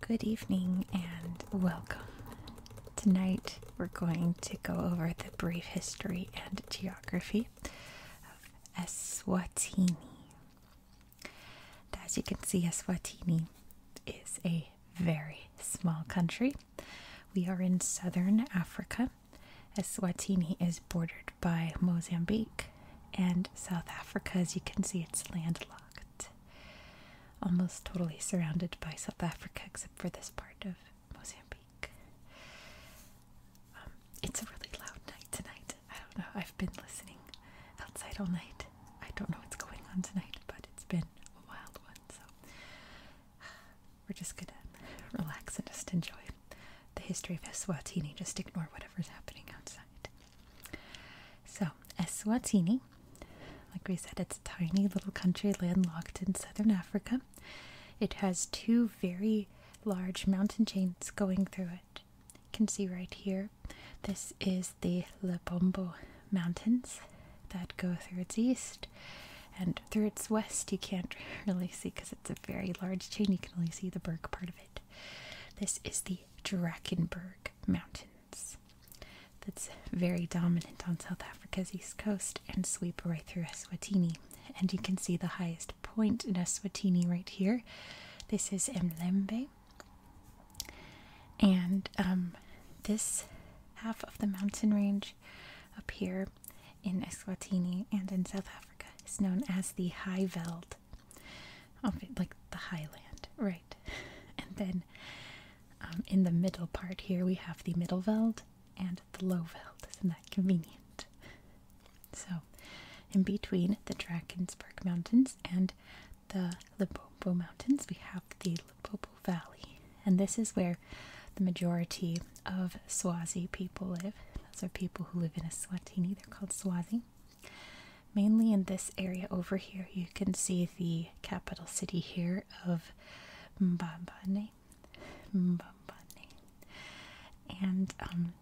Good evening and welcome. Tonight we're going to go over the brief history and geography of Eswatini. As you can see, Eswatini is a very small country we are in southern Africa. Eswatini is bordered by Mozambique, and South Africa, as you can see, it's landlocked. Almost totally surrounded by South Africa, except for this part of Mozambique. Um, it's a really loud night tonight. I don't know. I've been listening outside all night. I don't know what's going on tonight, but it's been a wild one. So we're just gonna relax and just enjoy the history of Eswatini, just ignore whatever's happening outside. So, Eswatini, like we said, it's a tiny little country landlocked in southern Africa. It has two very large mountain chains going through it. You can see right here, this is the Lebombo Mountains that go through its east, and through its west you can't really see because it's a very large chain you can only see the berg part of it this is the drakenberg mountains that's very dominant on south africa's east coast and sweep right through eswatini and you can see the highest point in eswatini right here this is mlembe and um, this half of the mountain range up here in Eswatini and in South Africa is known as the High Veld. Like the highland, right? And then um, in the middle part here we have the Middle Veld and the Low Veld. Isn't that convenient? So, in between the Drakensberg Mountains and the Limpopo Mountains, we have the Limpopo Valley. And this is where the majority of Swazi people live. Those are people who live in Eswatini, they're called Swazi. Mainly in this area over here, you can see the capital city here of Mbabane. Mbabane. And um,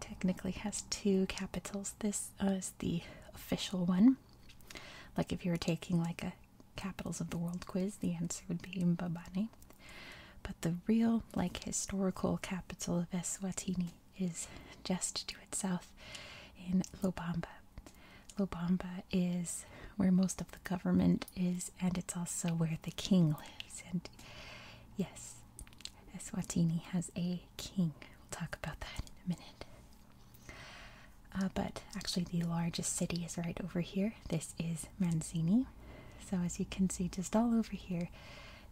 technically has two capitals. This uh, is the official one. Like if you were taking like a capitals of the world quiz, the answer would be Mbabane. But the real, like, historical capital of Eswatini is just to its south in Lobamba. Lobamba is where most of the government is, and it's also where the king lives. And yes, Eswatini has a king. We'll talk about that in a minute. Uh, but actually, the largest city is right over here this is Mancini. So as you can see, just all over here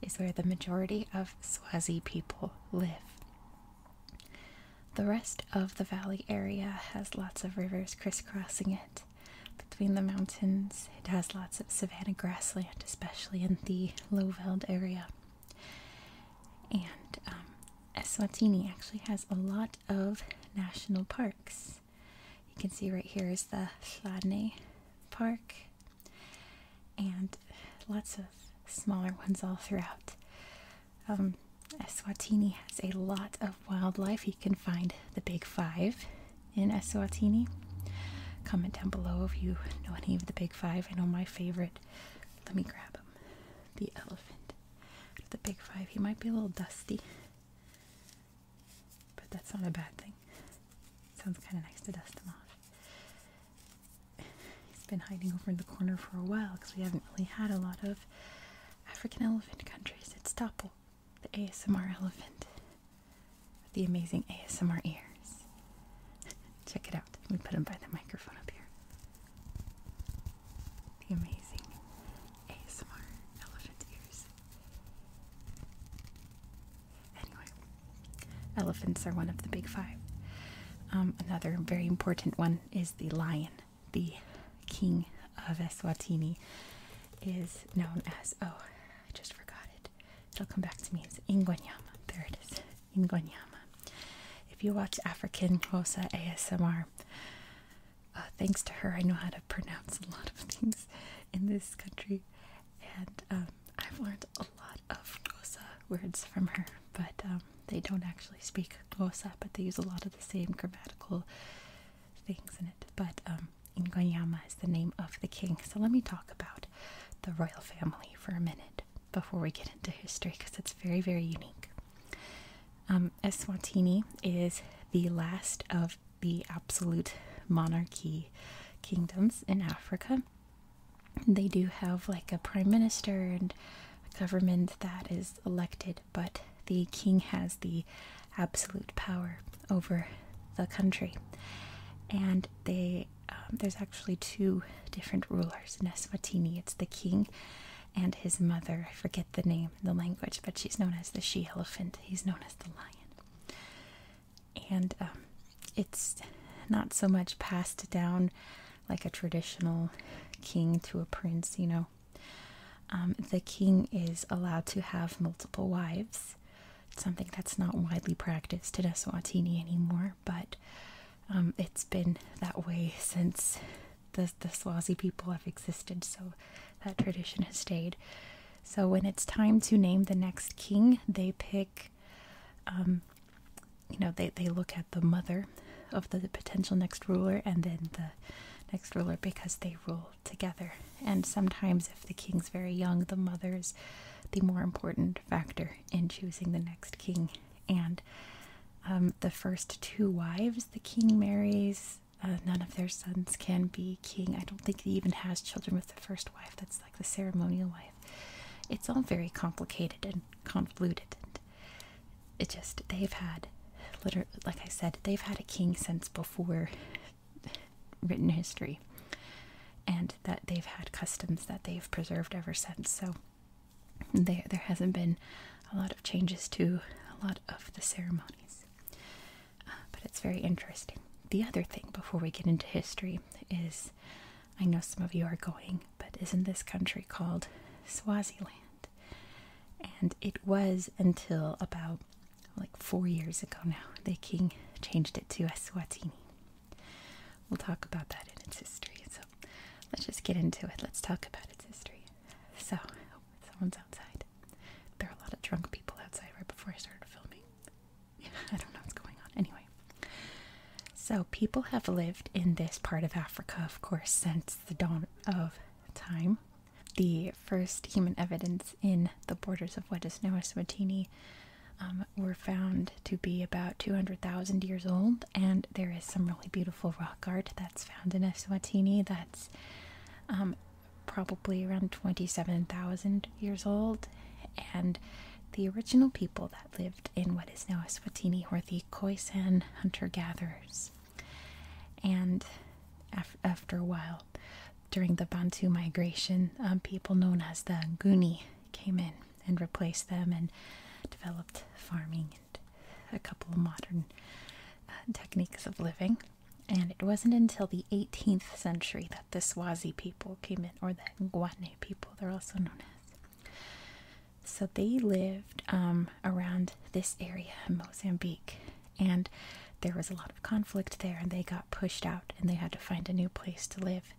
is where the majority of Swazi people live. The rest of the valley area has lots of rivers crisscrossing it between the mountains. It has lots of savanna grassland, especially in the Lowveld area. And um, actually has a lot of national parks. You can see right here is the Chladni Park, and lots of smaller ones all throughout. Um, Eswatini has a lot of wildlife. You can find the Big Five in Eswatini. Comment down below if you know any of the Big Five. I know my favorite. Let me grab him. The elephant. The Big Five. He might be a little dusty. But that's not a bad thing. Sounds kind of nice to dust him off. He's been hiding over in the corner for a while because we haven't really had a lot of African elephant countries. It's Doppel, the ASMR elephant with the amazing ASMR ears. Check it out. Let me put him by the microphone up here the amazing ASMR elephant ears. Anyway, elephants are one of the big five. Um, another very important one is the lion. The king of Eswatini is known as, oh, I just forgot it. It'll come back to me. It's Ingonyama. There it is. Ingonyama. If you watch African Xhosa ASMR, uh, thanks to her, I know how to pronounce a lot of things in this country, and um, I've learned a lot of Xhosa words from her. But um, they don't actually speak Xhosa, but they use a lot of the same grammatical things in it. But um, is the name of the king. So let me talk about the royal family for a minute before we get into history, because it's very, very unique. Um, Eswatini is the last of the absolute monarchy kingdoms in Africa. They do have like a prime minister and a government that is elected, but the king has the absolute power over the country. And they um, there's actually two different rulers in Eswatini. It's the king and his mother. I forget the name, the language, but she's known as the she elephant. He's known as the lion. And um, it's not so much passed down like a traditional king to a prince, you know. Um, the king is allowed to have multiple wives. something that's not widely practiced in Eswatini anymore, but um, it's been that way since the, the Swazi people have existed, so that tradition has stayed. So when it's time to name the next king, they pick, um, you know, they, they look at the mother of the, potential next ruler and then the next ruler because they rule together. And sometimes if the king's very young, the mother's the more important factor in choosing the next king. And um, the first two wives the king marries uh, none of their sons can be king. I don't think he even has children with the first wife. That's like the ceremonial wife. It's all very complicated and convoluted. it just they've had, literally, like I said, they've had a king since before written history, and that they've had customs that they've preserved ever since. So there, there hasn't been a lot of changes to a lot of the ceremonies. Uh, but it's very interesting. The other thing before we get into history is I know some of you are going, but isn't this country called Swaziland? And it was until about like four years ago now, the king changed it to Eswatini. We'll talk about that in its history. So let's just get into it. Let's talk about its history. So, oh, someone's outside. There are a lot of drunk people outside right before I started filming. I don't know what's going on. Anyway, so people have lived in this part of Africa, of course, since the dawn of time. The first human evidence in the borders of what is now as Swatini um, were found to be about 200,000 years old, and there is some really beautiful rock art that's found in Eswatini that's um, probably around 27,000 years old, and the original people that lived in what is now Eswatini were the Khoisan hunter gatherers. And after a while, during the Bantu migration, um, people known as the Nguni came in and replaced them and developed farming and a couple of modern uh, techniques of living. And it wasn't until the 18th century that the Swazi people came in, or the Nguane people, they're also known as. So they lived um, around this area in Mozambique, and there was a lot of conflict there, and they got pushed out, and they had to find a new place to live.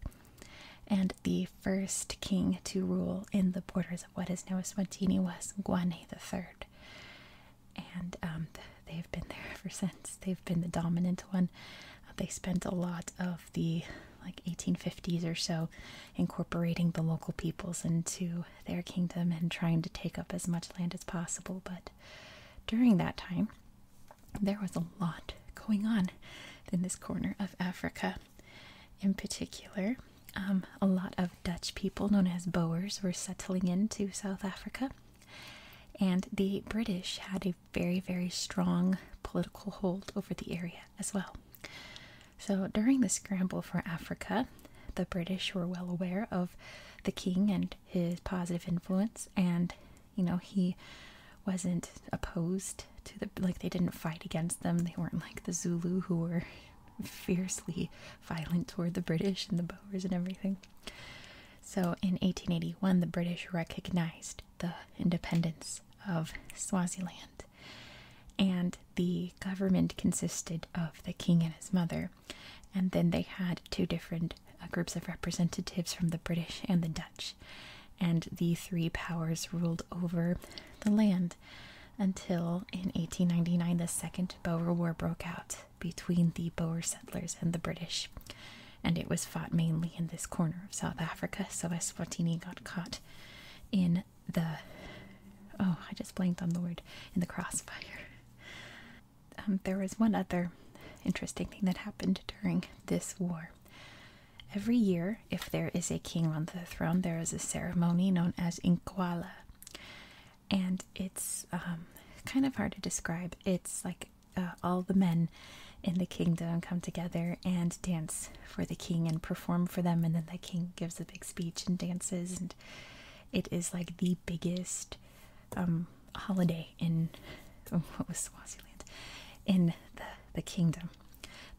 And the first king to rule in the borders of what is now Eswatini was the Third and um, they've been there ever since. They've been the dominant one. Uh, they spent a lot of the like 1850s or so incorporating the local peoples into their kingdom and trying to take up as much land as possible. But during that time, there was a lot going on in this corner of Africa. In particular, um, a lot of Dutch people, known as Boers, were settling into South Africa, and the British had a very, very strong political hold over the area as well. So during the scramble for Africa, the British were well aware of the king and his positive influence, and you know, he wasn't opposed to the like, they didn't fight against them, they weren't like the Zulu who were fiercely violent toward the British and the Boers and everything. So in 1881, the British recognized the independence of Swaziland, and the government consisted of the king and his mother, and then they had two different uh, groups of representatives from the British and the Dutch, and the three powers ruled over the land until in 1899 the Second Boer War broke out, between the Boer settlers and the British, and it was fought mainly in this corner of South Africa. So Swatini got caught in the oh, I just blanked on the word in the crossfire. Um, there was one other interesting thing that happened during this war. Every year, if there is a king on the throne, there is a ceremony known as Inkwala and it's um, kind of hard to describe. It's like uh, all the men in the kingdom come together and dance for the king and perform for them, and then the king gives a big speech and dances, and it is like the biggest um, holiday in what was Swaziland in the the kingdom.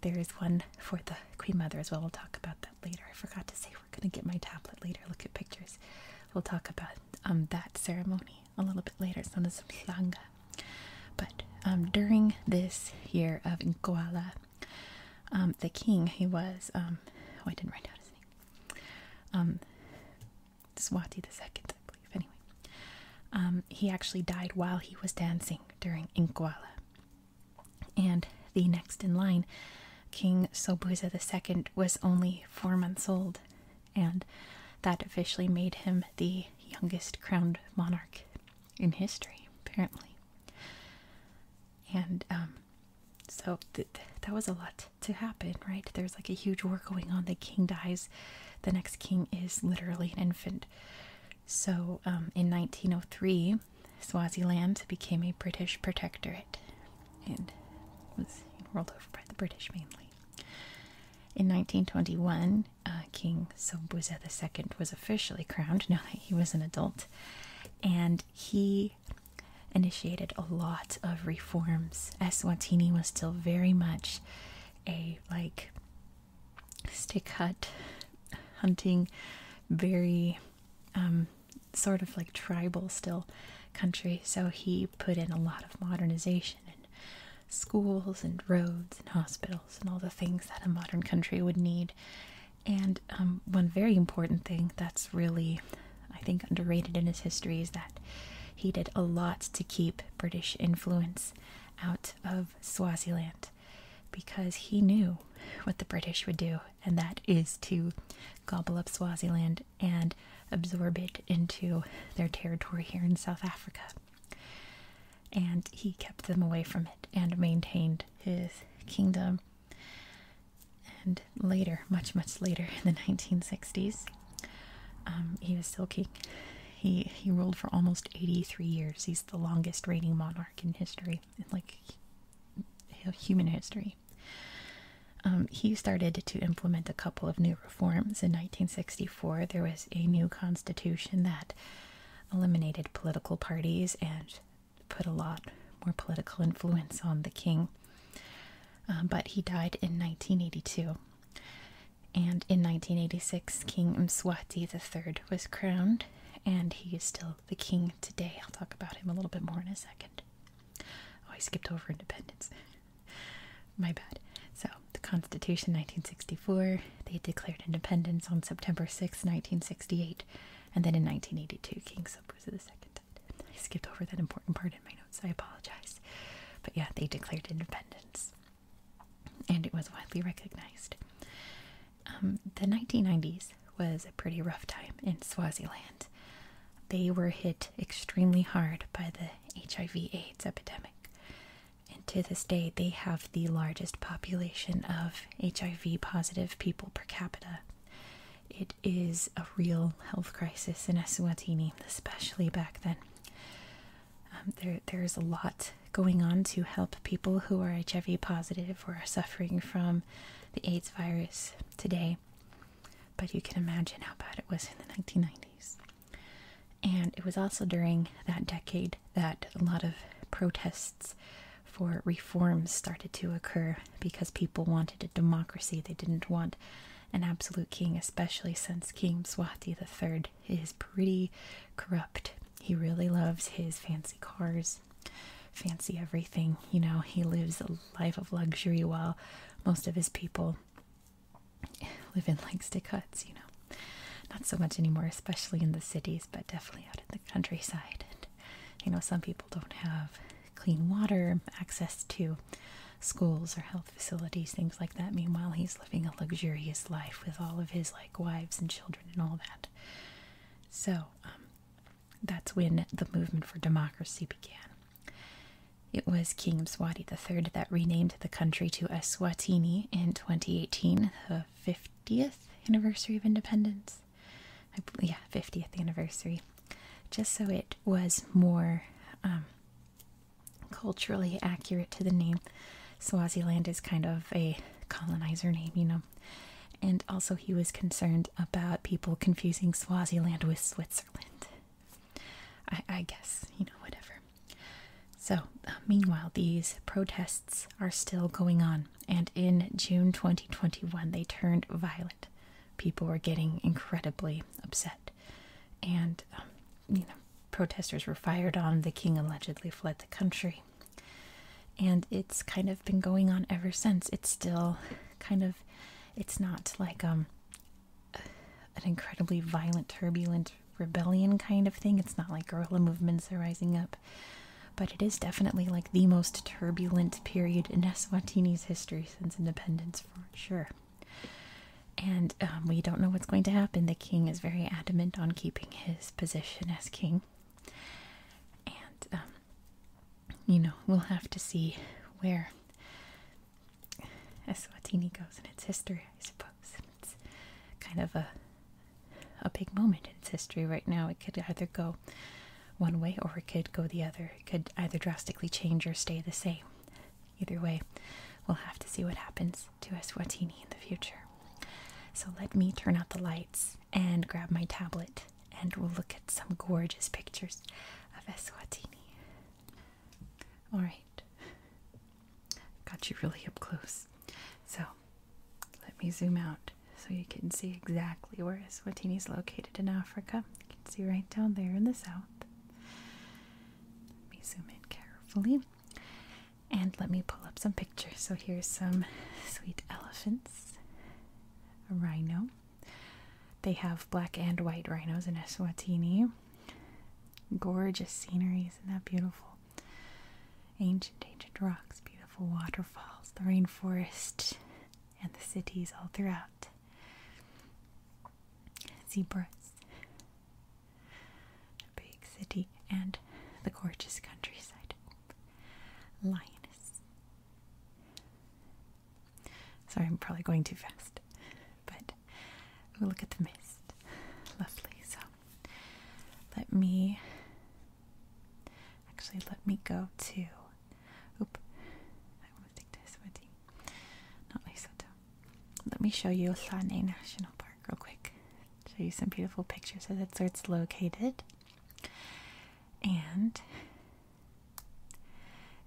There is one for the Queen Mother as well. We'll talk about that later. I forgot to say gonna get my tablet later, look at pictures. We'll talk about um, that ceremony a little bit later. It's known as Langa. But um, during this year of Nkoala, um, the king, he was, um, oh, I didn't write down his name, Swati the second, I believe, anyway. he actually died while he was dancing during Nkoala and the next in line, King Sobuza II, was only four months old, and that officially made him the youngest crowned monarch in history, apparently. And um, so that was a lot to happen, right? There's like a huge war going on. The king dies, the next king is literally an infant. So um, in 1903, Swaziland became a British protectorate and was ruled over by the British mainly. In 1921, uh, King Sobhuza II was officially crowned now that he was an adult, and he initiated a lot of reforms. Eswatini was still very much a like stick hut hunting, very um, sort of like tribal still country, so he put in a lot of modernization and schools and roads and hospitals and all the things that a modern country would need. And um, one very important thing that's really, I think, underrated in his history is that he did a lot to keep British influence out of Swaziland because he knew what the British would do and that is to gobble up Swaziland and absorb it into their territory here in South Africa. And he kept them away from it and maintained his kingdom. And later, much, much later in the 1960s, um, he was still king. He, he ruled for almost 83 years. He's the longest reigning monarch in history, like human history. Um, he started to implement a couple of new reforms. In 1964, there was a new constitution that eliminated political parties and put a lot more political influence on the king. Um, but he died in 1982. And in 1986, King Mswati III was crowned, and he is still the king today. I'll talk about him a little bit more in a second. Oh, I skipped over independence. My bad. So, the Constitution 1964, they declared independence on September 6, 1968, and then in 1982, King Subwooza II died. I skipped over that important part in my notes, I apologize. But yeah, they declared independence, and it was widely recognized. Um, the 1990s, was a pretty rough time in Swaziland. They were hit extremely hard by the HIV/AIDS epidemic, and to this day, they have the largest population of HIV positive people per capita. It is a real health crisis in Eswatini, especially back then. Um, there, there's a lot going on to help people who are HIV positive or are suffering from the AIDS virus today but you can imagine how bad it was in the 1990s. And it was also during that decade that a lot of protests for reforms started to occur because people wanted a democracy. They didn't want an absolute king, especially since King Swati III is pretty corrupt. He really loves his fancy cars fancy everything. You know, he lives a life of luxury while most of his people live in like stick huts, you know. Not so much anymore, especially in the cities, but definitely out in the countryside. And, you know, some people don't have clean water, access to schools or health facilities, things like that. Meanwhile, he's living a luxurious life with all of his like wives and children and all that. So, um, that's when the movement for democracy began. It was King Mswati III that renamed the country to Eswatini in 2018, the 50th anniversary of independence. yeah, 50th anniversary. Just so it was more um, culturally accurate to the name. Swaziland is kind of a colonizer name, you know. And also, he was concerned about people confusing Swaziland with Switzerland. I, guess, you know, whatever. So, uh, meanwhile, these protests are still going on, and in June 2021, they turned violent. People were getting incredibly upset, and, um, you know, protesters were fired on. The king allegedly fled the country. And it's kind of been going on ever since. It's still kind of it's not like um an incredibly violent turbulent rebellion kind of thing it's not like guerrilla movements are rising up but it is definitely like the most turbulent period in eswatini's history since independence for sure and um, we don't know what's going to happen the king is very adamant on keeping his position as king and um, you know, we'll have to see where Eswatini goes in its history, I suppose. It's kind of a a big moment in its history right now. It could either go one way or it could go the other. It could either drastically change or stay the same. Either way, we'll have to see what happens to Eswatini in the future. So let me turn out the lights and grab my tablet and we'll look at some gorgeous pictures of Eswatini. Alright, got you really up close. So let me zoom out so you can see exactly where Eswatini is located in Africa. You can see right down there in the south. Let me zoom in carefully. And let me pull up some pictures. So here's some sweet elephants, a rhino, they have black and white rhinos in Eswatini. Gorgeous scenery, isn't that beautiful? Ancient, ancient rocks, beautiful waterfalls, the rainforest, and the cities all throughout. Zebras, a big city, and the gorgeous countryside. Lioness. Sorry, I'm probably going too fast. But we'll look at the mist. Lovely. So let me actually let me go to oop. I want to take this with you. Not Lesotho. Let me show you Lhane National Park real quick. Show you some beautiful pictures of that's where it's located. And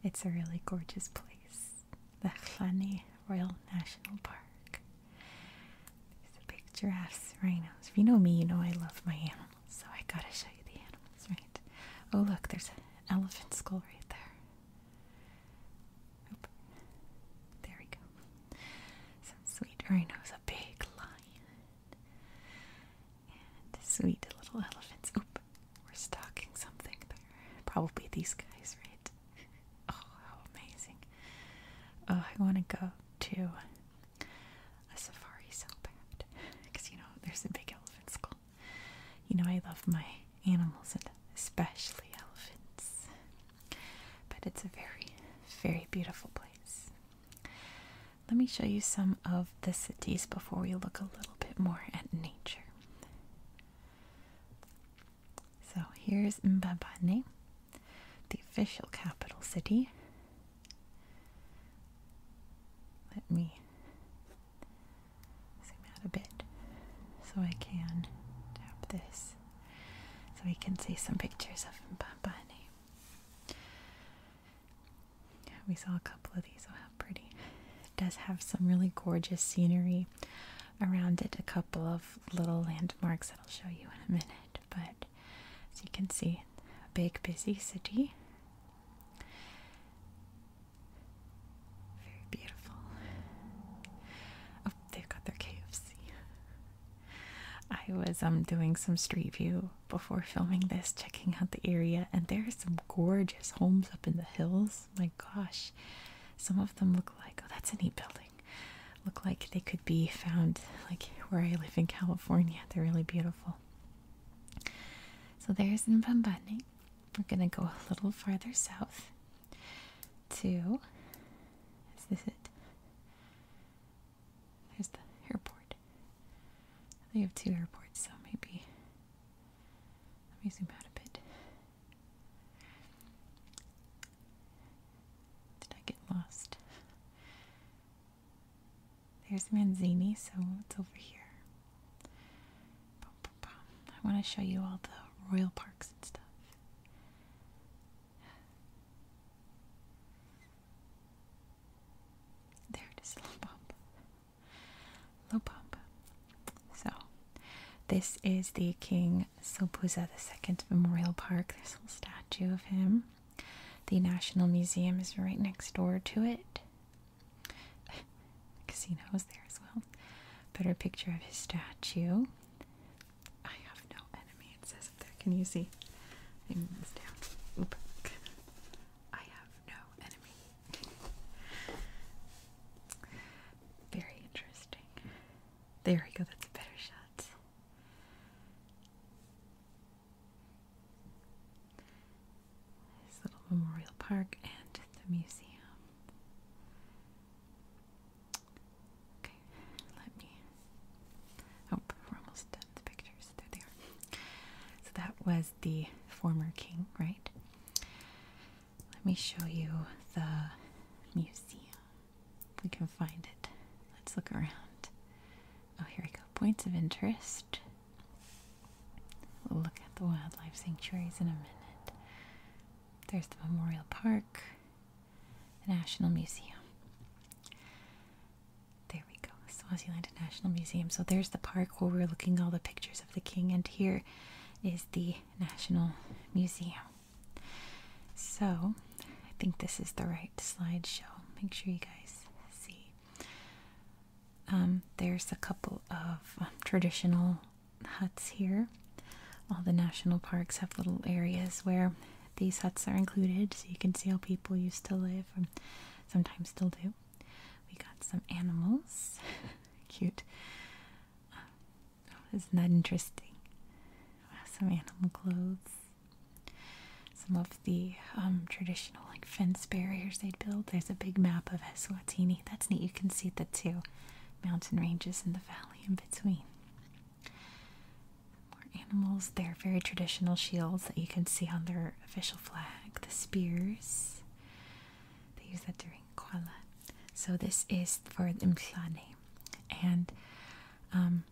it's a really gorgeous place. The Khani Royal National Park. There's a big giraffes, rhinos. If you know me, you know I love my animals, so I gotta show you the animals, right? Oh look, there's an elephant skull right there. There we go. Some sweet rhinos, a big lion. And sweet little elephants. Oop, we're stalking something there. Probably these guys, right? Oh, how amazing. Oh, I want to go to a safari so bad. Because, you know, there's a big elephant skull. You know, I love my animals and especially elephants. But it's a very, very beautiful place. Let me show you some of the cities before we look a little bit more at nature. So here's Mbabane, the official capital city. Let me zoom out a bit so I can tap this so we can see some pictures of Mbabane. We saw a couple of these. Oh, how pretty! It does have some really gorgeous scenery around it. A couple of little landmarks that I'll show you in a minute. But as you can see, a big, busy city. Very beautiful. Oh, they've got their KFC. I was um doing some street view before filming this, checking out the area, and there are some gorgeous homes up in the hills. My gosh, some of them look like oh, that's a neat building. Look like they could be found like where I live in California. They're really beautiful. So there's in Mbambani. We're gonna go a little farther south to. Is this it? There's the airport. They have two airports, so maybe. Let me zoom out a bit. Did I get lost? There's Manzini, so it's over here. I want to show you all the royal parks and stuff. There it is, low pump. Low pump. So, this is the King Sopuza II Memorial Park. There's a little statue of him. The National Museum is right next door to it. The casino is there as well. Better picture of his statue. I have no enemy, Can you see? I move down. Oop. I have no enemy. Very interesting. There we go, that's a better shot. This little memorial park and the museum. Okay, let me. Oh, we're almost done the pictures. There they are. So that was the former king, right? Let me show you the museum. we can find it. Let's look around. Oh, here we go. Points of interest. We'll look at the wildlife sanctuaries in a minute. There's the Memorial Park, the National Museum. There we go, Swaziland National Museum. So there's the park where we're looking all the pictures of the king, and here is the National Museum. So I think this is the right slideshow. Make sure you guys see. Um, there's a couple of traditional huts here. All the national parks have little areas where these huts are included, so you can see how people used to live, and sometimes still do. We got some animals. Cute. isn't that interesting? Some animal clothes. Some of the um, traditional like fence barriers they'd build. There's a big map of Eswatini. That's neat. You can see the two mountain ranges and the valley in between. More animals. They're very traditional shields that you can see on their official flag, the spears. They use that during Kwaala. So this is for Implane. And um,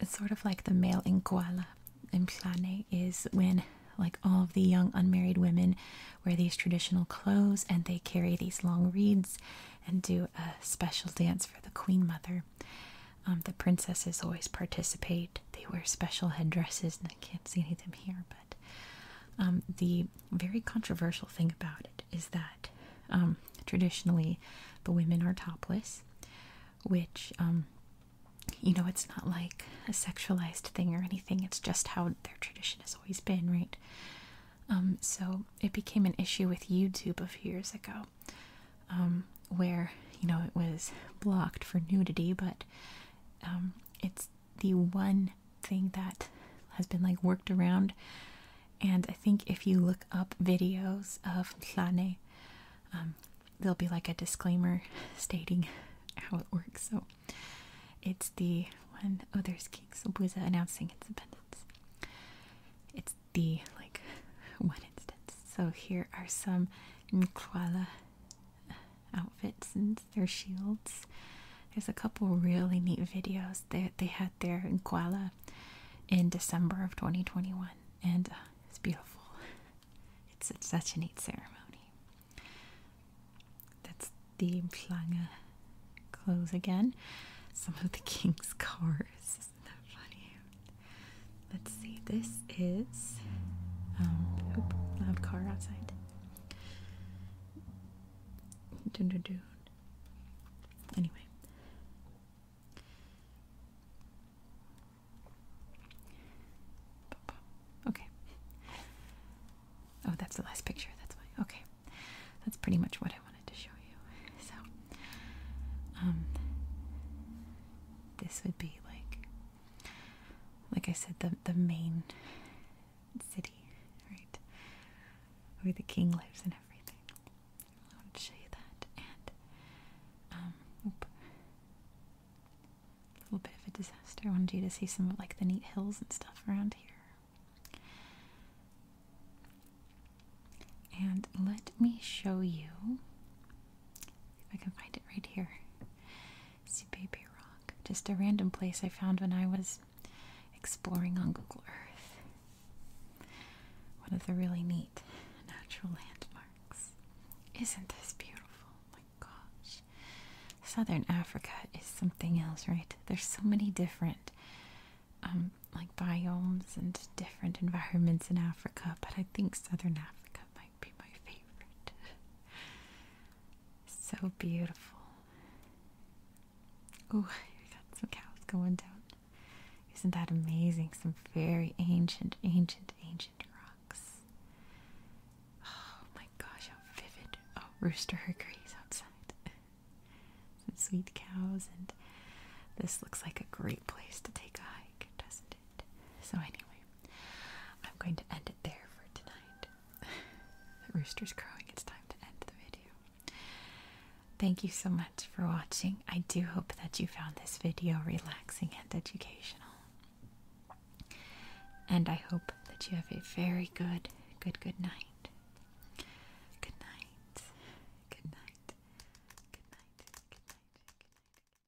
it's sort of like the male in Kuala. Implane is when like all of the young unmarried women wear these traditional clothes and they carry these long reeds and do a special dance for the queen mother um, the princesses always participate. They wear special headdresses, and I can't see any of them here. But um, the very controversial thing about it is that um, traditionally the women are topless, which you know it's not like a sexualized thing or anything. It's just how their tradition has always been, right? so it became an issue with YouTube a few years ago where you know it was blocked for nudity, but um, it's the one thing that has been like worked around. And I think if you look up videos of Tlane, um, there'll be like a disclaimer stating how it works. So it's the one, oh, there's King Sobuza announcing its independence. It's the like one instance. So here are some Nkwala outfits and their shields. There's a couple really neat videos that they, had there in Kuala in December of 2021, and uh, it's beautiful. It's, such a neat ceremony. That's the Mplanga clothes again. Some of the king's cars. Isn't that funny? Let's see, this is. Um, I have loud car outside. Dun, dun, dun. Anyway. Okay. Oh, that's the last picture, that's why. Okay. That's pretty much what I wanted to show you. So, um, this would be like like I said, the the main city, right, where the king lives and everything. I wanted to show you that, and um, a little bit of a disaster. I wanted you to see some of like the neat hills and stuff around here. And let me show you I can find it right here. See Baby Rock. Just a random place I found when I was exploring on Google Earth. One of the really neat natural landmarks. Isn't this beautiful? Oh my gosh. Southern Africa is something else, right? There's so many different um like biomes and different environments in Africa, but I think Southern Africa might be my favorite. so beautiful. Oh, we got some cows going down. Isn't that amazing? Some very ancient, ancient, ancient rocks. Oh my gosh, how vivid. Oh, rooster hickories outside. Some sweet cows, and this looks like a great place to take a hike, doesn't it? So anyway, I'm going to end it there for tonight. the rooster's crowing. It's time to end the video. Thank you so much for watching. I do hope that you found this video relaxing and educational. And I hope that you have a very good, good, good night. Good night. Good night. Good night. Good night. Good night.